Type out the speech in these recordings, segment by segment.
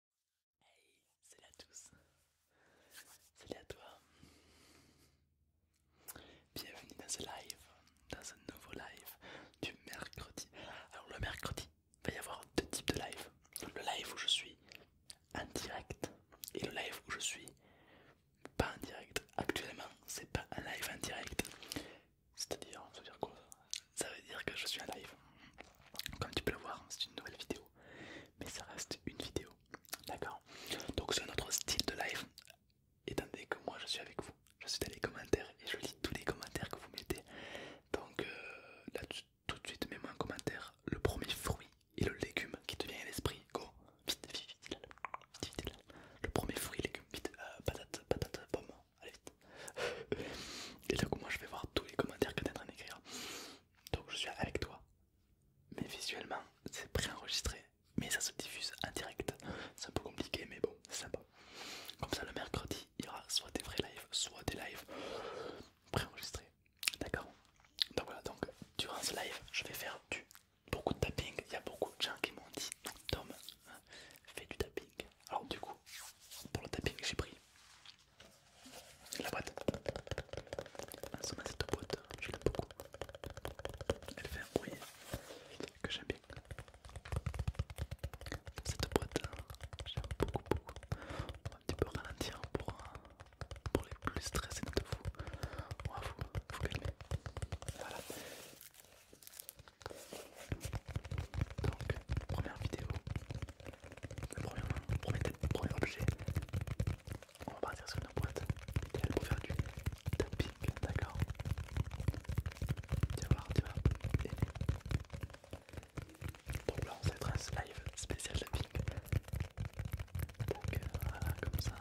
Hey, salut à tous. Salut à toi. Bienvenue dans ce live, dans un nouveau live du mercredi. Alors le mercredi, il va y avoir deux types de live. Le live où je suis en direct et le live où je suis pas en direct. Actuellement, c'est pas un live en direct. C'est-à-dire, ça veut dire quoi Ça veut dire que je suis en live. Comme tu peux le voir, c'est une nouvelle vidéo. Mais ça reste une vidéo. D'accord Donc c'est notre style de live. Étant donné que moi je suis avec vous, je suis dans les commentaires et je lis tous les commentaires que vous mettez. Donc euh, là tout de suite mets-moi en commentaire le premier fruit et le légume qui te vient à l'esprit. Go Vite, vite, vite, vite, Le premier fruit, légume, vite, euh, patate, patate, pomme, allez vite. et donc moi je vais voir tous les commentaires que tu en train d'écrire. Donc je suis avec toi mais visuellement c'est préenregistré mais ça se diffuse en direct c'est un peu compliqué mais bon c'est sympa comme ça le mercredi il y aura soit des vrais lives soit des lives préenregistrés d'accord donc voilà donc durant ce live je vais faire du beaucoup de tapping il y a beaucoup de gens qui m'ont dit Tom hein, fais du tapping alors du coup pour le tapping j'ai pris la boîte. cette ah, boîte, je l'aime beaucoup. Elle fait un bruit que j'aime bien. Cette boîte, hein, j'aime beaucoup, beaucoup. On va un petit peu ralentir pour, euh, les plus stressés de vous. On va vous, calmer. Voilà. Donc, première vidéo Premier, premier, objet, on va partir sur une boîte pour faire du tapping, d'accord Tiens vas voir, tu vas Donc là, live spécial tapping. Donc euh, voilà, comme ça.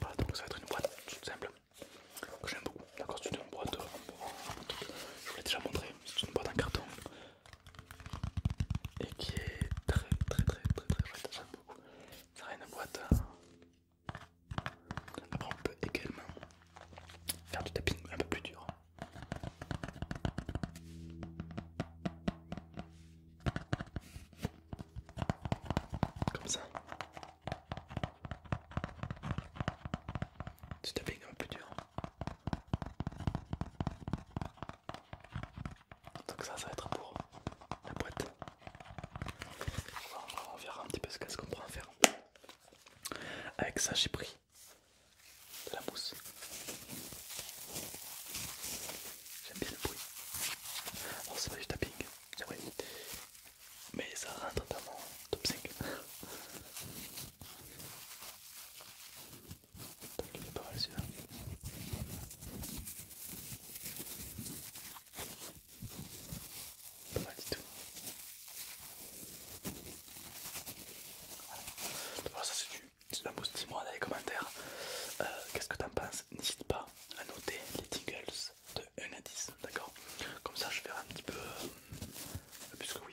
Voilà, donc ça va être une boîte toute simple que j'aime beaucoup. D'accord, c'est une boîte, euh, je vous l'ai déjà montré, c'est une boîte en carton et qui est très très très très très boîte. Après on peut également faire du tapping un peu plus dur. Comme ça. Du tapping un peu plus dur. Donc ça, ça va être pour la boîte. On verra un petit peu ce qu'est-ce qu'on faire. Avec ça, j'ai pris de la mousse. J'aime bien le bruit. Alors c'est pas du tapping, c'est ah vrai. Mais ça rentre dans mon top 5 pas mal celui-là. Pas mal du tout. ça c'est du. la un dis-moi dans les commentaires. Qu'est-ce que t'en penses N'hésite pas à noter les tingles de 1 à 10, d'accord Comme ça je verrai un petit peu, euh, que oui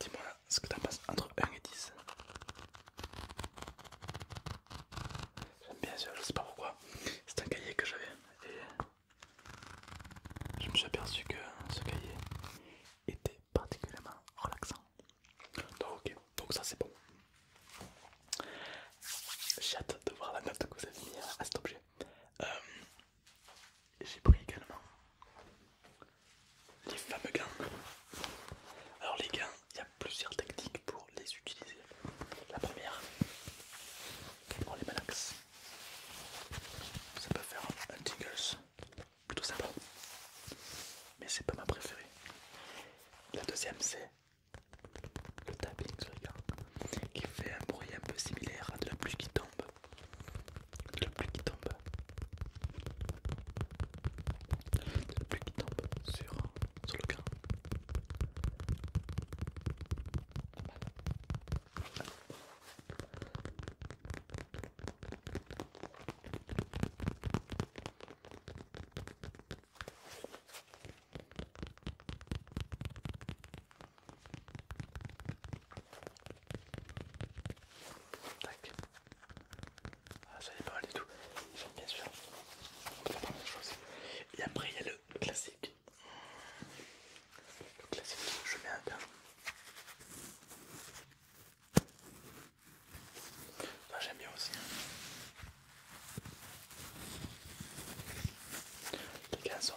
Dis-moi ce que t'en penses entre 1 et 10. J'aime bien sûr, je sais pas pourquoi. C'est un cahier que j'avais et je me suis aperçu que ce cahier était particulièrement relaxant. Donc, donc ça c'est bon. J'ai hâte de voir la note que vous avez mis à cet objet. Euh, j'ai pris également les fameux gains Alors, les gains il y a plusieurs techniques pour les utiliser. La première, on les malaxe. Ça peut faire un tingles plutôt sympa. Mais c'est pas ma préférée. La deuxième, c'est le tapping, regarde, qui fait un bruit un peu similaire à de la pluie qui tombe. De la pluie qui tombe. De la pluie qui tombe sur, sur le grain. Ah, ça y pas mal du tout. bien sûr. Et après il y a le classique. Le classique, je mets un gain. Bah, j'aime bien aussi. Hein. Les canons sont,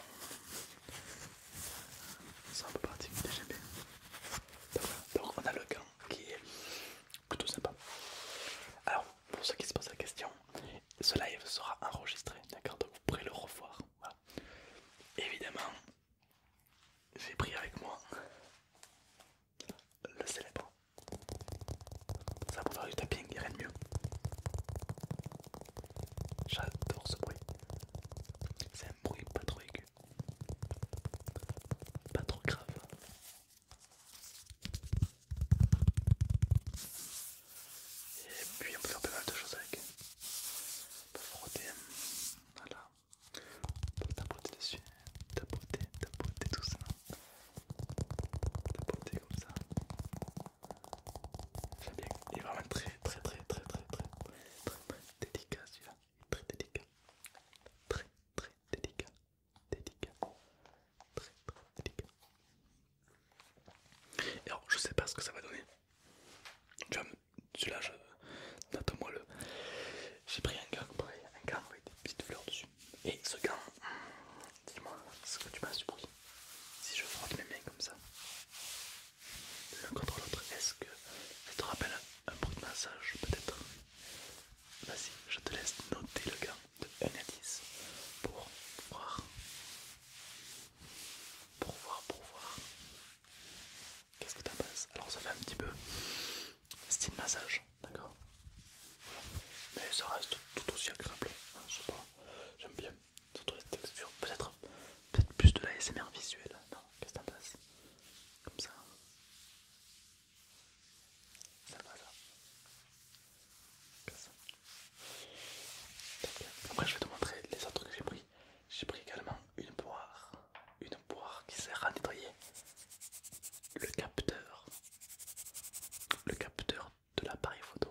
un peu pratiques j'aime bien. Donc, on a le gant qui est plutôt sympa. Alors pour ceux qui se posent la question, ce live sera enregistré, d'accord Donc vous pourrez le revoir. Évidemment, j'ai pris avec moi le célèbre. Ça vous faire du tapping, il rien de mieux. J'adore ce bruit. C'est un bruit pas trop aigu. Pas trop grave. Et puis on peut faire pas mal de choses avec. On peut frotter. Voilà. On peut tapoter dessus, tapoter, tapoter tout ça. Tapoter comme ça. J'aime bien. Il est vraiment très très très très très très très très délicat celui-là. Très délicat. Très très délicat. Délicat. Très très délicat. Et alors je sais pas ce que ça va donner. Tu celui-là, je... note-moi le. J'ai pris un gant, pareil, un gant avec des petites fleurs dessus. Et ce gant, dis-moi ce que tu m'as du Si je frotte mes mains comme ça, l'un contre l'autre, est-ce que ça te rappelle un bruit de massage peut-être Vas-y, je te laisse noter le gant de 1 à 10 pour voir. Pour voir, pour voir. Qu'est-ce que t'en penses Alors ça fait un petit peu style massage, d'accord Mais ça reste tout aussi agréable, hein, je sais pas, j'aime bien, surtout les peut-être peut plus de la SMR visuelle, non Qu'est-ce que t'en penses Comme ça Ça va ça Après je vais te montrer les autres que j'ai pris, j'ai pris également une poire une boire qui sert à nettoyer le capteur, le capteur de l'appareil photo.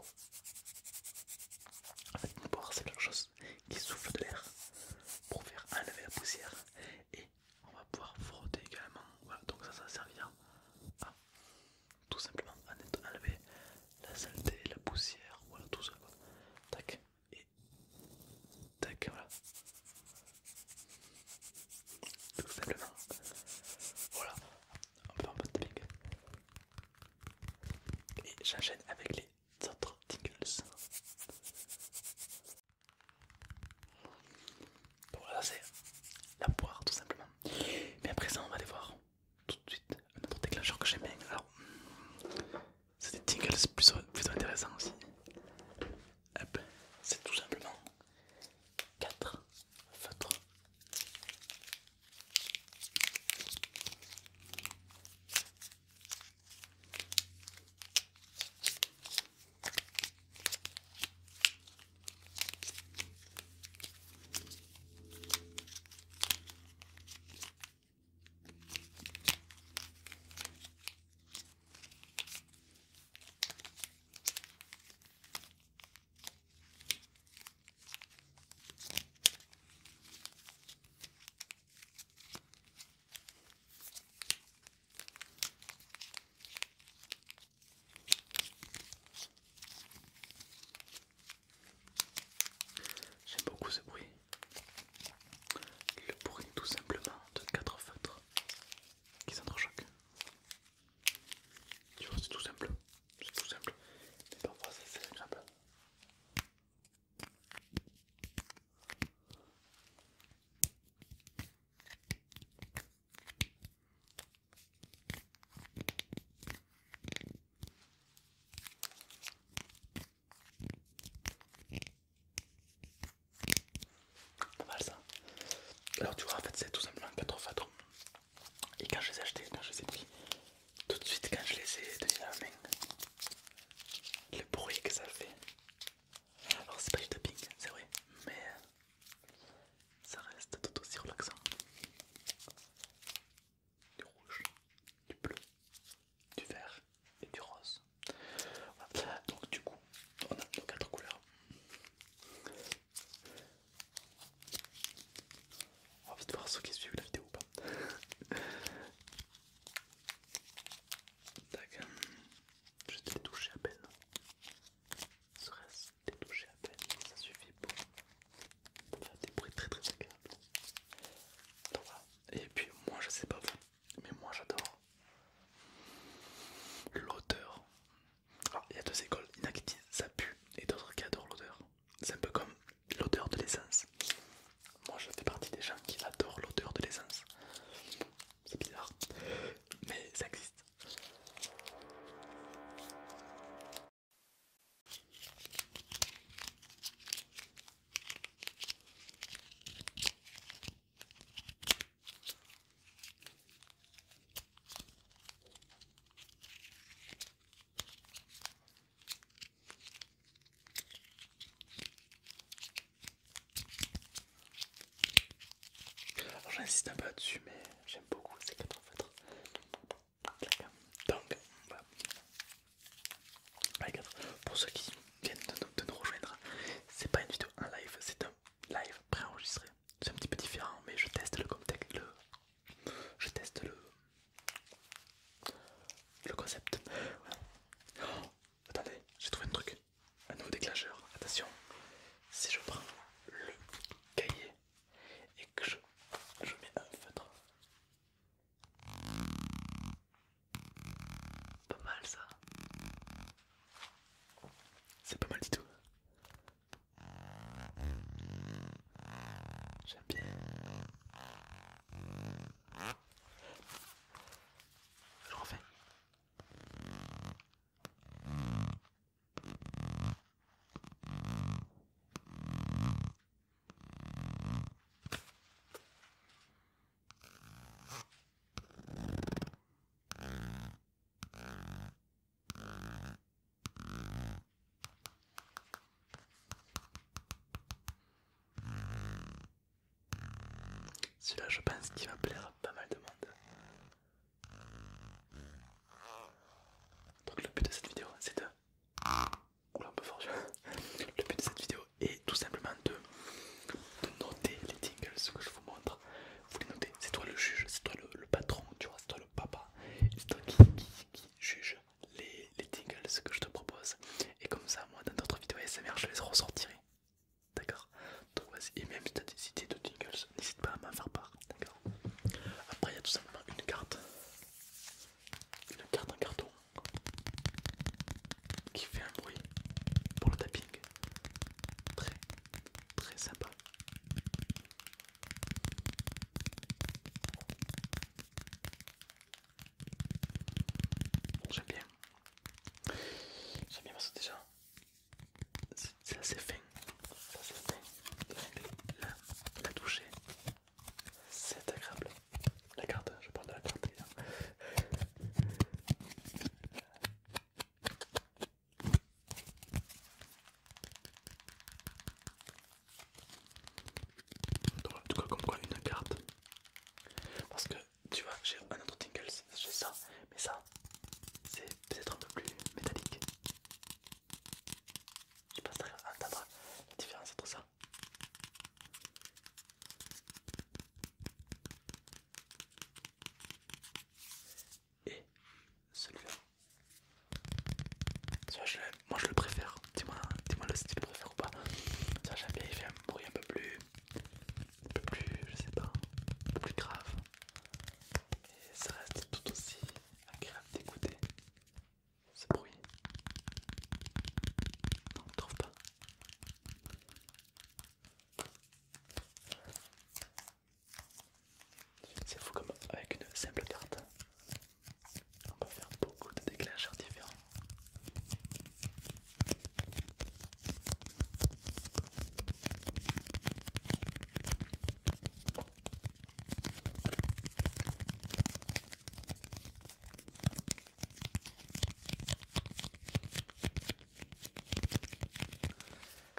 En une boire c'est quelque chose qui souffle de l'air pour faire enlever la poussière et on va pouvoir frotter également. Voilà, donc ça, ça servir à tout simplement à enlever la saleté, la poussière, voilà tout ça. Tac, et tac, voilà. Tout simplement. Voilà, on un peu de ping. Et j'enchaîne avec les autres tingles. voilà, c'est la poire tout simplement. Mais à présent, on va aller voir tout de suite un autre déclencheur que j'aime bien. Alors, c'est des jingles plutôt, plutôt intéressants aussi. c'est tout simplement 4 feutres. J'aime beaucoup ce bruit le bruit tout simplement de quatre feutres qui s'entrechoquent. Tu vois, c'est tout simple, c'est tout simple, mais parfois c'est agréable. Alors tu vois en fait c'est tout simplement 4 fatos Et quand je les ai achetés, quand je les ai pris, tout de suite quand je les ai tenus à la le bruit que ça fait. Alors c'est pas du tapping, c'est vrai, mais ça reste tout aussi relaxant. Du rouge, du bleu, du vert et du rose. Donc du coup, on a nos quatre couleurs. On va vite voir ceux qui suivent la vidéo ou pas. Tac. t'ai touché à peine. Serait-ce les à peine, ça suffit pour faire des bruits très très agréables. Et puis moi je sais pas vous, mais moi j'adore l'odeur. Ah, il y a deux écoles, il y en a qui disent ça pue et d'autres qui adorent l'odeur. C'est un peu comme l'odeur de l'essence. Moi je fais partie des gens qui adorent l'odeur de l'essence. C'est bizarre, mais ça existe j'insiste un peu là-dessus, mais j'aime beaucoup ces quatre en Donc, voilà pour ceux qui viennent de nous, rejoindre, c'est pas une vidéo en live, c'est un live préenregistré. C'est un petit peu différent, mais je teste le le, je teste le, le concept. attendez, j'ai trouvé un truc, un nouveau déclencheur. Attention, si je prends le cahier et que je mets un feutre. Pas mal ça. C'est pas mal du tout. J'aime bien. Je refais. Celui-là, je pense qu'il va plaire à pas mal de monde. Donc le but de cette vidéo, c'est de Oula, Le but de cette vidéo est tout simplement de, noter les tingles que je vous montre. Vous les notez, c'est toi le juge, c'est toi le, patron, tu vois, c'est toi le papa, c'est toi qui, juge les, tingles que je te propose. Et comme ça, moi, dans d'autres vidéos ASMR, je les ressortirai. D'accord Donc vas-y, et même si tu as des idées de tingles, n'hésite pas à m'en faire part. D'accord Après, il y a tout simplement une carte, une carte en carton qui fait un bruit pour le tapping très très sympa. J'aime bien. J'aime bien parce que déjà c'est assez fin. C'est assez fin. La, la toucher c'est agréable. La carte, je parle de la carte. Donc, en tout cas, comme quoi une carte. Parce que tu vois, j'ai un autre tingle j'ai ça, mais ça, c'est peut-être un peu plus métallique. Je passe à entendre la différence entre ça et celui-là. moi je le préfère. Dis-moi si tu le préfères ou pas. Ça j'aime bien, il fait un bruit un peu plus. Un peu plus, je sais pas, un peu plus grave. Et ça reste tout aussi agréable d'écouter ce bruit. Non, on trouve pas. C'est fou comme avec une simple carte, on peut faire beaucoup de déclencheurs différents.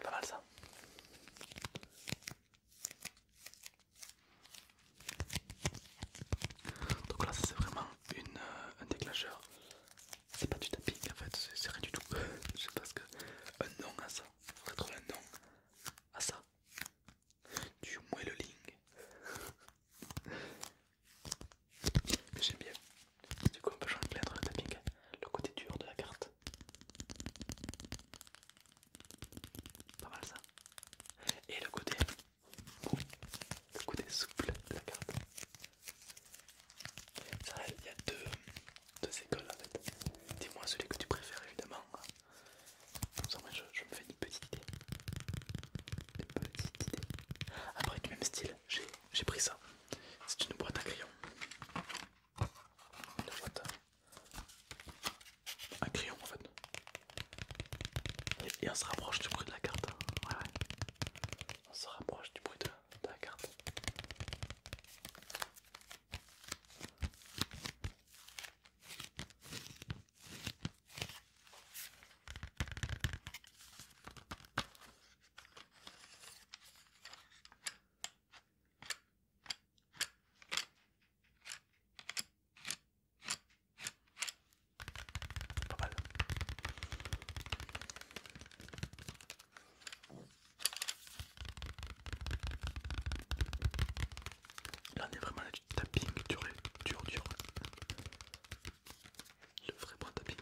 Pas ça. Donc là c'est vraiment une, euh, un déclencheur. C'est pas du tapis en fait, c'est rien du tout. Je sais que... Un nom à ça. Faudrait trouver un nom à ça. Du ling j'aime bien. Du coup, on peut changer entre le le côté dur de la carte. Pas mal ça. Et le côté, le côté souple de la carte. Ça, il y a deux, deux écoles en fait. Dis-moi celui que tu préfères évidemment. Comme ça, moi, je me fais une petite idée des petites idées. Après, du même style, j'ai pris ça. C'est une boîte à crayon. Une boîte à, crayon en fait. Et, on se rapproche du bruit de la carte. Hein. Ouais, ouais. On se rapproche du bruit de la carte. Pas Là on est vraiment là tapping dur, dur, dur. Le vrai bon tapping.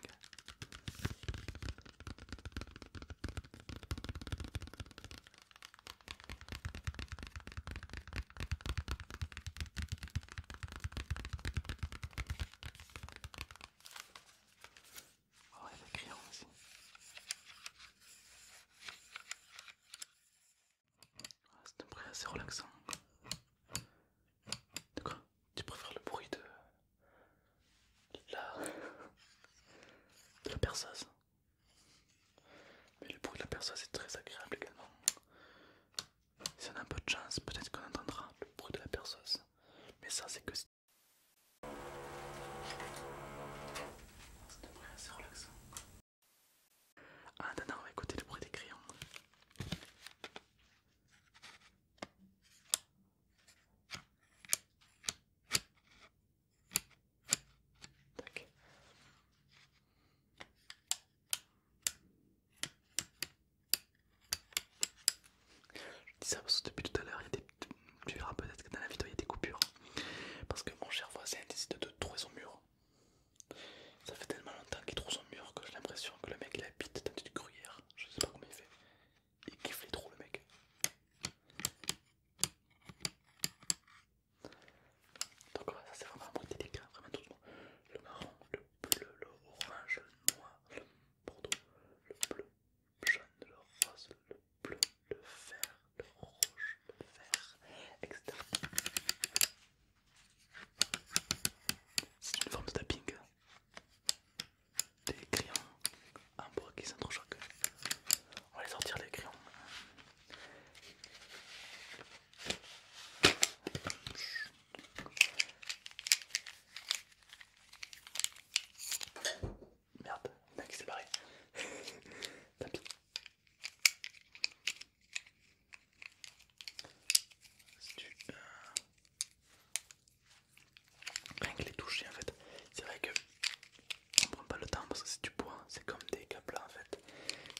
Oh, il y a crayons aussi. Ah, c'est un bruit assez relaxant. Tu préfères le bruit de la, de la Mais le bruit de la perceuse est très agréable également. Si on a un peu de chance, peut-être qu'on entendra le bruit de la perceuse. Mais ça, c'est que... C'est un bruit assez relaxant. Ah non on va écouter le bruit des crayons. Je dis ça parce que depuis tout à l'heure, il y a des... tu verras peut-être que dans la vidéo il y a des coupures. Parce que mon cher voisin décide de trouver son mur. Ça fait tellement longtemps qu'il trouve son mur que j'ai l'impression que le mec il habite dans une gruyère. Je sais pas comment il fait. Il kiffe les trous le mec. Donc voilà, ça c'est vraiment mon petit vraiment tout le marron, le bleu, orange, le noir, le bordeaux, le bleu, le jaune, le rose, le bleu, le vert, le rouge, le vert, etc. C'est une forme de tapping des crayons en bois qui s'entrechoquent. On va les sortir les crayons. Merde, a mec s'est barré. Tapis c'est du euh, rien que les toucher en fait, c'est vrai que on prend pas le temps parce que c'est du bois, c'est comme des câbles en fait.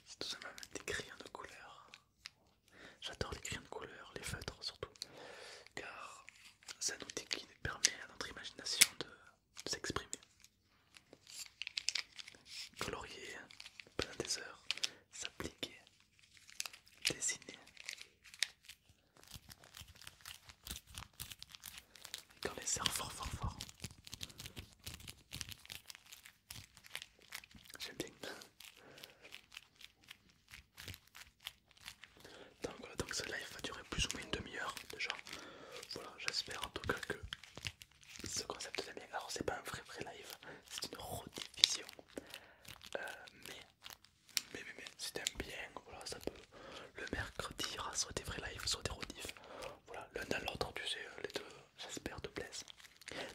C'est tout simplement des crayons de couleur. J'adore les crayons de couleur, les feutres surtout, car c'est un outil qui permet à notre imagination de s'exprimer. Colorier pendant des heures, s'appliquer, dessiner. dans les serres fort fort fort. J'aime bien. Donc voilà, donc ce live va durer plus ou moins une demi-heure déjà. Voilà, j'espère en tout cas que ce concept j'aime bien. Alors, c'est pas un vrai vrai live, c'est une rediffusion, euh, mais, mais, mais, mais bien, voilà, ça peut. Le mercredi, il y aura soit des vrais lives, soit des Voilà, l'un dans l'autre, tu sais, euh, les deux, j'espère, te plaisent.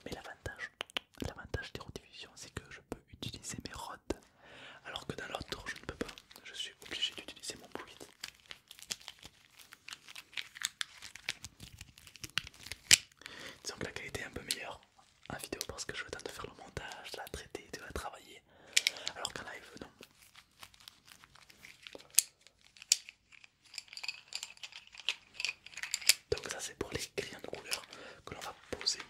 Mais l'avantage, l'avantage des rediffusions, c'est que je peux utiliser mes rods, alors que dans l'autre, je ne peux pas. Je suis obligé d'utiliser mon bruit. Disons que la qualité est un peu meilleure en vidéo parce que je vais temps de faire le montage, la traiter, de la travailler. Alors qu'en live, non. Donc ça c'est pour les crayons de couleur que l'on va poser.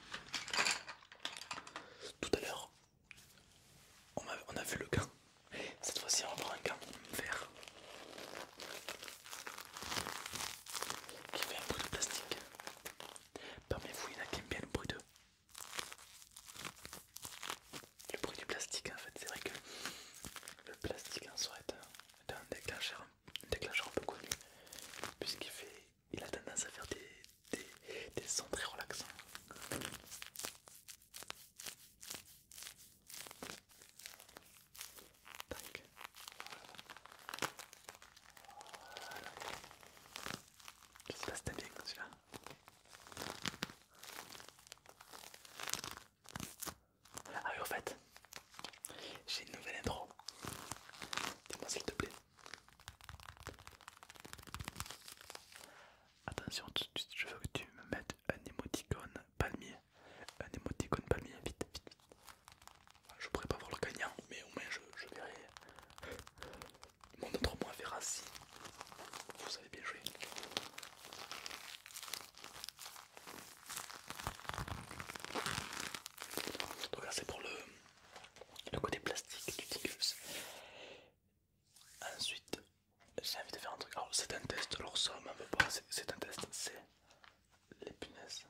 Tout à l'heure, on, on a vu le gant. Cette fois-ci on va voir un gant vert qui fait un bruit de plastique. Parmi vous, il y en a qui aiment bien le bruit de. Le bruit du plastique en fait, c'est vrai que le plastique en soi est un, déclencheur, un déclencheur peu connu puisqu'il fait, il a tendance à faire des sons très relaxants. Tac. Je sais pas si t'aimes bien celui-là. Ah oui, en fait, j'ai une nouvelle intro. Dis-moi s'il te plaît. Attention, je veux que tu me mettes un émoticône palmier un émoticône palmier, vite, vite. Je pourrais pas voir le gagnant, mais au moins je, verrai. Mon autre moi verra si vous avez bien joué. Donc là c'est pour le, côté plastique du Tickles. Ensuite j'ai envie de faire un truc. Alors c'est un test, alors somme, c'est un test, c'est les punaises.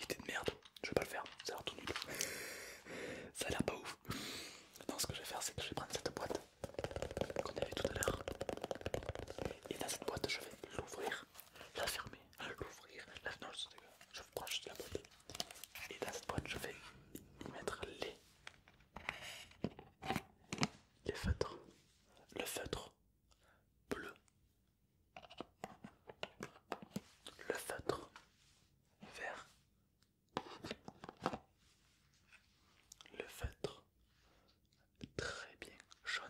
était de merde, je vais pas le faire, ça a l'air tout nul. ça a l'air pas ouf. Non, ce que je vais faire, c'est que je vais prendre cette boîte qu'on avait tout à l'heure. Et dans cette boîte, je vais l'ouvrir, la fermer, l'ouvrir, la. Non, je vais la boîte. Et dans cette boîte, je vais mettre les le feutre, Le feutre bleu. Le feutre vert. Le feutre très bien jaune.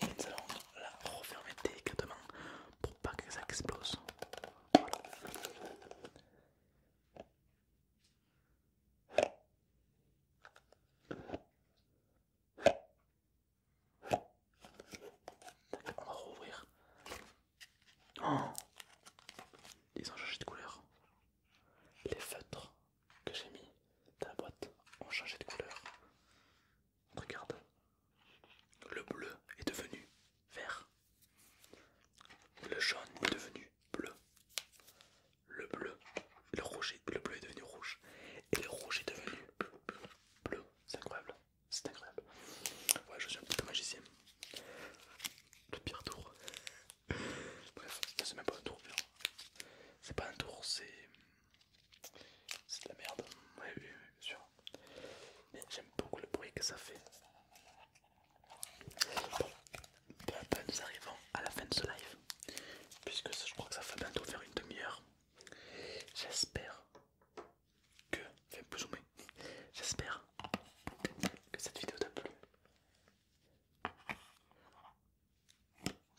Et nous allons la refermer délicatement pour pas que ça explose. On va rouvrir. Oh. Ils ont changé de couleur. Les feutres que j'ai mis dans la boîte ont changé de couleur. Regarde. Le bleu est devenu vert. Le jaune est devenu bleu. Le bleu, le rouge, est, bleu est devenu rouge. Et le rouge est devenu bleu. C'est incroyable. C'est incroyable. Ouais, je suis un petit magicien. Le pire tour. Bref, c'est même pas un tour. C'est pas un tour, c'est. C'est de la merde. Ouais, oui, bien sûr mais j'aime beaucoup le bruit que ça fait. Bon, à nous arrivons à la fin de ce live, puisque je crois que ça fait bientôt faire une demi-heure. J'espère que, enfin plus ou j'espère que cette vidéo t'a plu.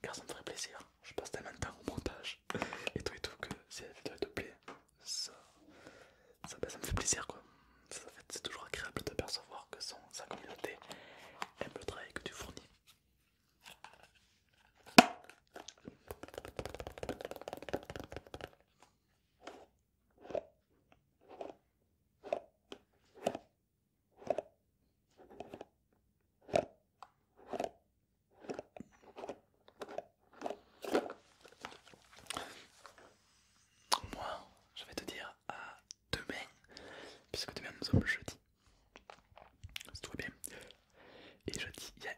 Car ça me ferait plaisir, je passe tellement de temps au montage et tout et tout que si la vidéo te plaît, ça, ça, bah, ça me fait plaisir quoi. c'est toujours agréable de percevoir que sa communauté aime le travail que tu fournis. Moi, je vais te dire à demain, puisque demain nous sommes jeudi. C'est tout bien. Et jeudi, il y a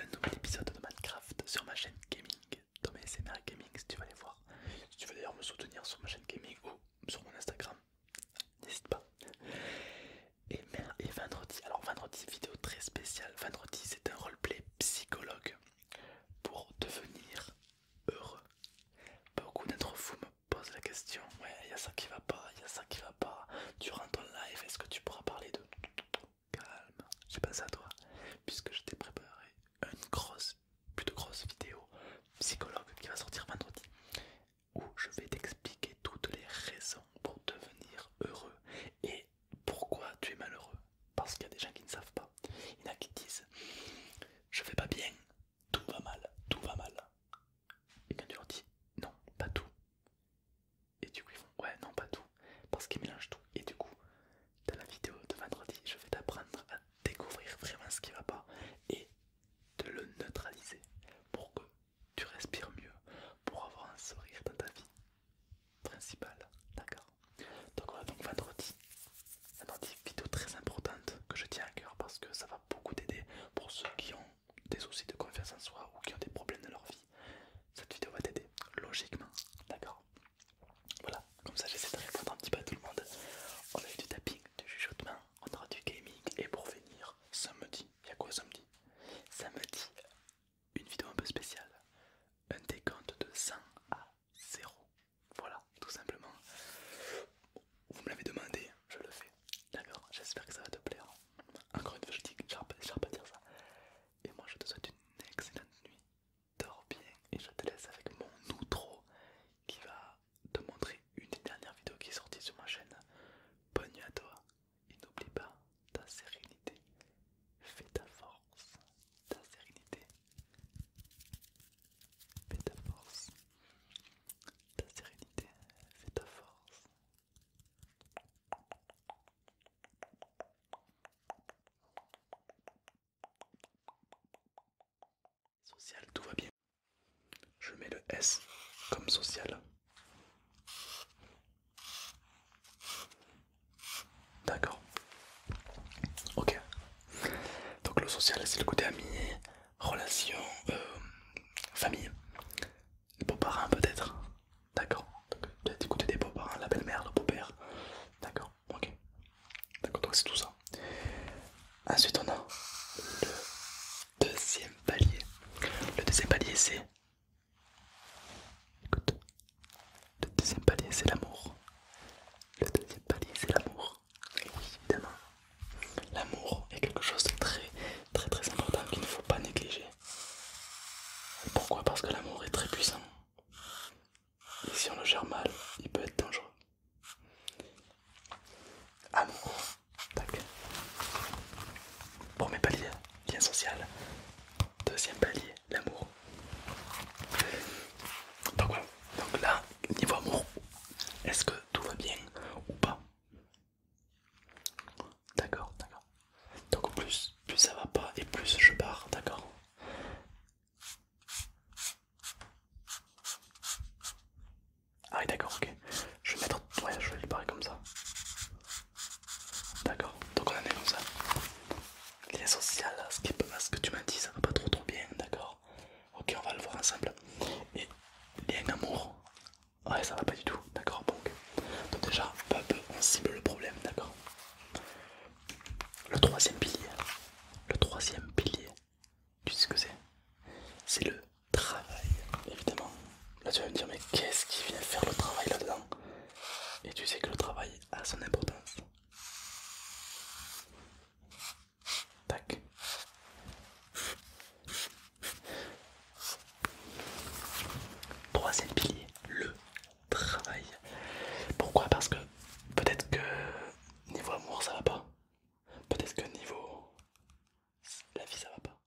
un nouvel épisode de Minecraft sur ma chaîne gaming, dans c'est SMR gaming, si tu veux aller voir. Si tu veux d'ailleurs me soutenir sur ma chaîne gaming ou sur mon Instagram, n'hésite pas. Et, et vendredi, alors vendredi, vidéo très spéciale. Vendredi, c'est un psychologue pour devenir heureux. Beaucoup d'entre vous me posent la question, ouais, il y a ça qui va pas, il y a ça qui va pas. Durant ton live, est-ce que tu pourras parler de... Calme, j'ai pas à toi, puisque je t'ai préparé une grosse, de grosse vidéo psychologue qui va sortir vendredi, où je vais t'expliquer toutes les raisons pour devenir heureux et pourquoi tu es malheureux Parce qu'il y a des gens qui ne savent pas. Il y en a qui disent Je fais pas bien, tout va mal, tout va mal. Et quand tu leur dis Non, pas tout. Et du coup, ils font Ouais, non, pas tout. Parce qu'ils mélangent tout. Et du coup, dans la vidéo de vendredi, je vais t'apprendre à découvrir vraiment ce qui va pas et de le neutraliser pour que tu respires mieux, pour avoir un sourire dans ta vie, principale. D'accord. Donc voilà, donc vendredi, vendredi, vidéo très importante que je tiens à cœur parce que ça va beaucoup t'aider pour ceux qui ont des soucis de confiance en soi ou qui ont des problèmes dans leur vie. Cette vidéo va t'aider, logiquement. D'accord. Voilà, comme ça j'essaie de répondre un petit peu à tout le monde. On a eu du tapping, du chuchotement, on aura du gaming et pour finir, samedi, il y a quoi samedi Samedi, une vidéo un peu spéciale, un décompte de 100 à 0. Voilà, tout simplement. Vous me l'avez demandé, je le fais. D'accord, j'espère que ça va te plaire. Encore une fois, je dis que j'arrive pas dire ça. Et moi, je te souhaite une excellente nuit. Dors bien et je te laisse avec mon outro qui va te montrer une des dernières vidéos qui est sortie sur ma chaîne. Bonne nuit à toi et n'oublie pas ta sérénité. Fais ta force, ta sérénité. Fais ta force, ta sérénité. Fais ta force. Social, tout va bien. Je mets le S comme social. D'accord. Ok. Donc le social, c'est le côté ami, relation, euh, famille, beaux-parents peut-être. D'accord. as du côté des beaux-parents, la belle-mère, le beau-père. D'accord. Ok. D'accord. Donc c'est tout ça. Ensuite, on a le deuxième palier. Le deuxième palier, c'est Écoute, le deuxième palier c'est l'amour. Le deuxième palier c'est l'amour. oui, évidemment. L'amour est quelque chose de très très très important qu'il ne faut pas négliger. Pourquoi Parce que l'amour est très puissant. Et si on le gère mal, il peut être dangereux. Amour. Tac. mes palier, lien social. Deuxième palier, l'amour. Donc voilà, donc là, niveau amour, est-ce que tout va bien ou pas D'accord, d'accord. Donc plus, plus ça va pas et plus je pars, d'accord Ah oui d'accord, ok. Je vais mettre... Ouais, je vais le barrer comme ça. D'accord, donc on en est comme ça. Lien social, ce que tu m'as dit, ça va pas trop trop bien, d'accord Ok, on va le voir ensemble. Et lien amour, ouais, ça va pas du tout, d'accord Donc, donc déjà, peu à peu, on cible le problème, d'accord Le troisième pilier, le troisième pilier, tu sais ce que c'est C'est le travail, évidemment. Là tu vas me dire mais qu'est-ce qui vient faire le travail là-dedans Et tu sais que le travail a son importance. Tac. Troisième pilier, le travail. Pourquoi Parce que peut-être que niveau amour ça va pas. Peut-être que niveau la vie ça va pas.